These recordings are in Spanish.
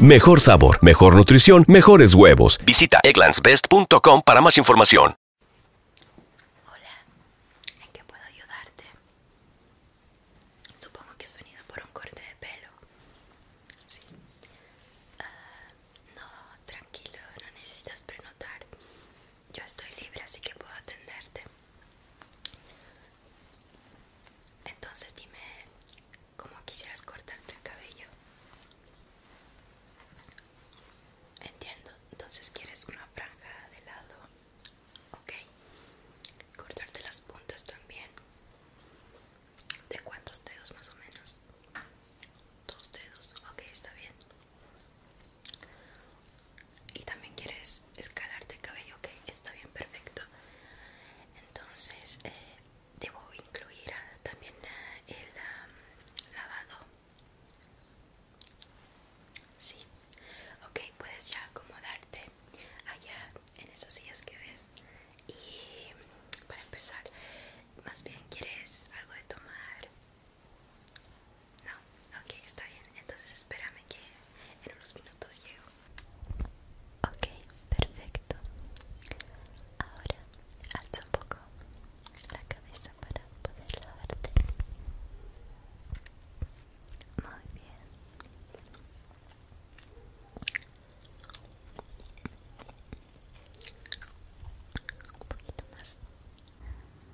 Mejor sabor, mejor nutrición, mejores huevos. Visita egglandsbest.com para más información. Hola, ¿en qué puedo ayudarte? Supongo que has venido por un corte de pelo. Sí. Ah, no, tranquilo, no necesitas prenotar. Yo estoy libre, así que puedo atenderte. Entonces dime, como quisieras cortarte el cabello. Entiendo, entonces quieres una franja de lado, ok. Cortarte las puntas también. ¿De cuántos dedos más o menos? Dos dedos, ok, está bien. Y también quieres escalarte el cabello, ok, está bien, perfecto. Entonces, eh, debo incluir también el lavado sí ok puedes ya acomodarte allá en esas sillas que ves y para empezar más bien quieres algo de tomar no ok está bien entonces espérame que en unos minutos llego Ok, perfecto. Ahora alza un poco la cabeza para poder lavarte. Muy bien. Un poquito más.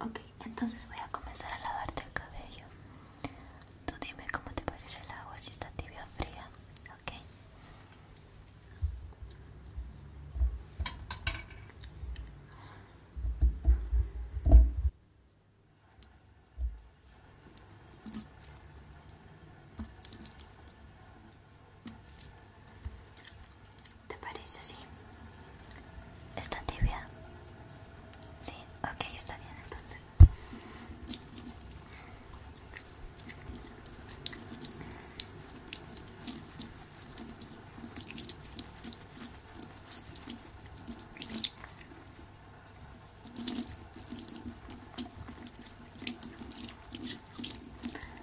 Ok, entonces voy a comenzar a lavarte el cabello. Tú dime cómo te parece el agua, si está tibia o fría, ¿ok? ¿Te parece así? ¿Está tibia? Sí, ok, está bien entonces.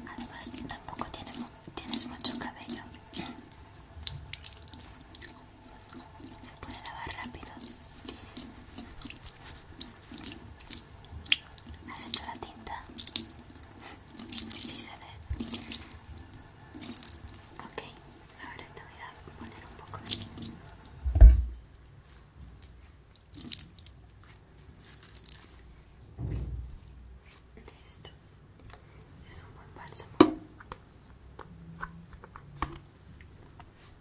Además, tampoco tienes mucho cabello se puede lavar rápido has hecho la tinta sí se ve ok ahora te voy a poner un poco de Listo, es un buen bálsamo.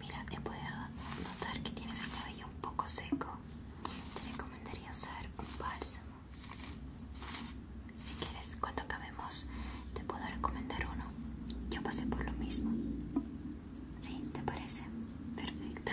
Mira, he podido notar que tienes el cabello un poco seco te recomendaría usar un bálsamo. Si quieres, cuando acabemos, te puedo recomendar uno. Yo pasé por lo mismo. ¿Sí? ¿Te parece? Perfecto.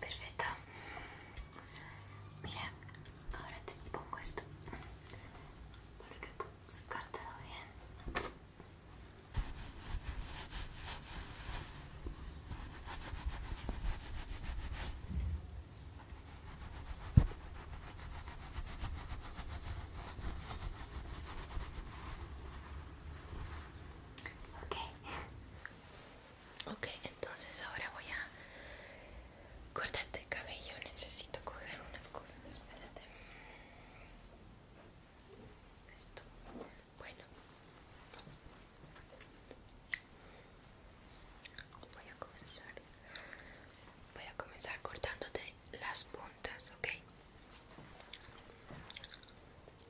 Perfecto. Mira, ahora te pongo esto para que puedas secártelo bien. Ok, Ok, entonces ahora voy a cortarte el cabello. Necesito coger unas cosas. Espérate. Esto. Bueno. Voy a comenzar. Voy a comenzar cortándote las puntas, ¿ok?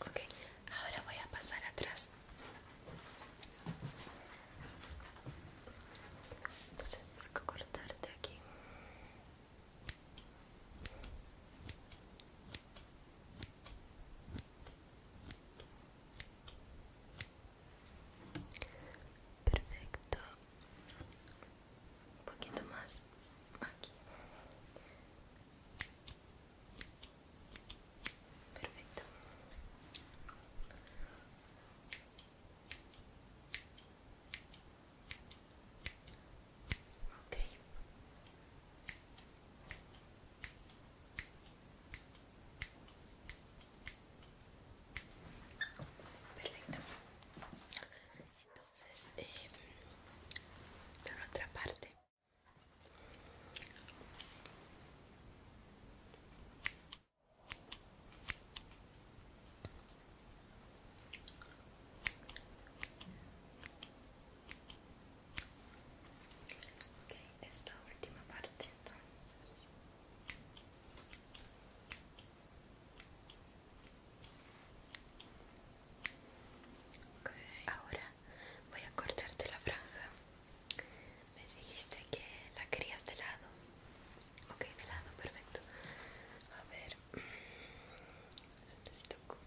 Ok, ahora voy a pasar atrás. Entonces a cortarte aquí. Perfecto. Un poquito más aquí. Perfecto. Okay. Perfecto. Entonces, eh, por otra parte. Okay, esta última parte entonces. Ahora voy a cortarte la franja. Me dijiste que la querías de lado. Ok, de lado, perfecto. A ver, necesito cuidado.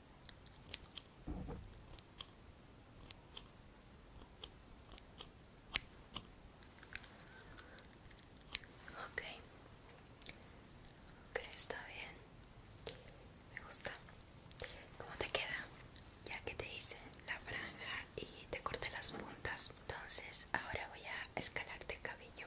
Ok, está bien. Me gusta. ¿Cómo te queda? Ya que te hice la franja y te corté las puntas, entonces ahora voy a escalarte el cabello.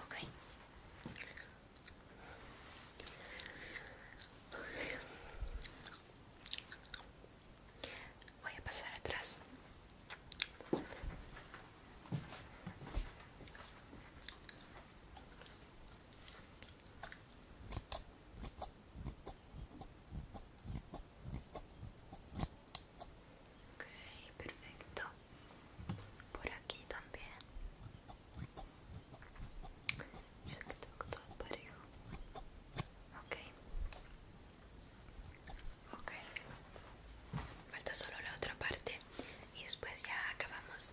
Okay. Voy a pasar atrás. Ok, perfecto. Por aquí también. se que tengo todo parejo. Ok. Ok. Falta solo la otra parte y después ya acabamos.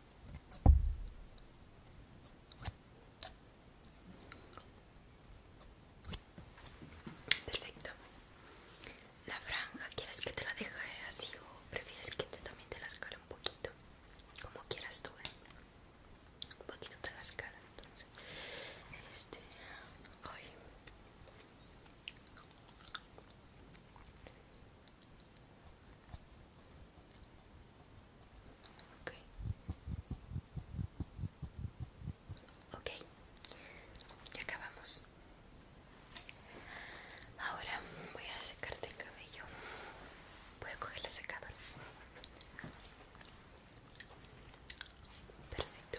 Perfecto. La franja, ¿quieres que te la deje así o prefieres que te, también te la escale un poquito? Como quieras tú, ¿eh? Un poquito te la escala, entonces. Este... Ok. okay, Ya acabamos. Ahora voy a secarte el cabello. Voy a coger la secadora. Perfecto.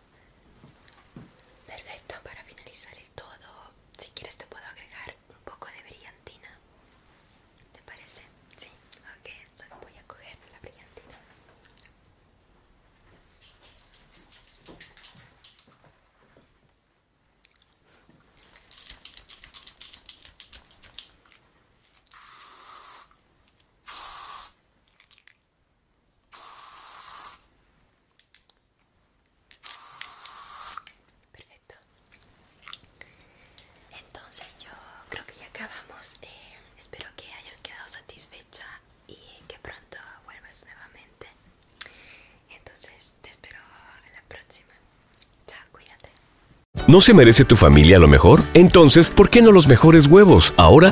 Perfecto, para finalizar el todo, si quieres te puedo agregar un poco de brillantina. ¿Te parece? Sí, ok, voy a coger la brillantina. Perfecto. Entonces yo creo que ya acabamos. Eh, espero que hayas quedado satisfecha y que pronto vuelvas nuevamente. Entonces te espero a la próxima. Chao, cuídate. ¿No se merece tu familia lo mejor? Entonces, ¿por qué no los mejores huevos? Ahora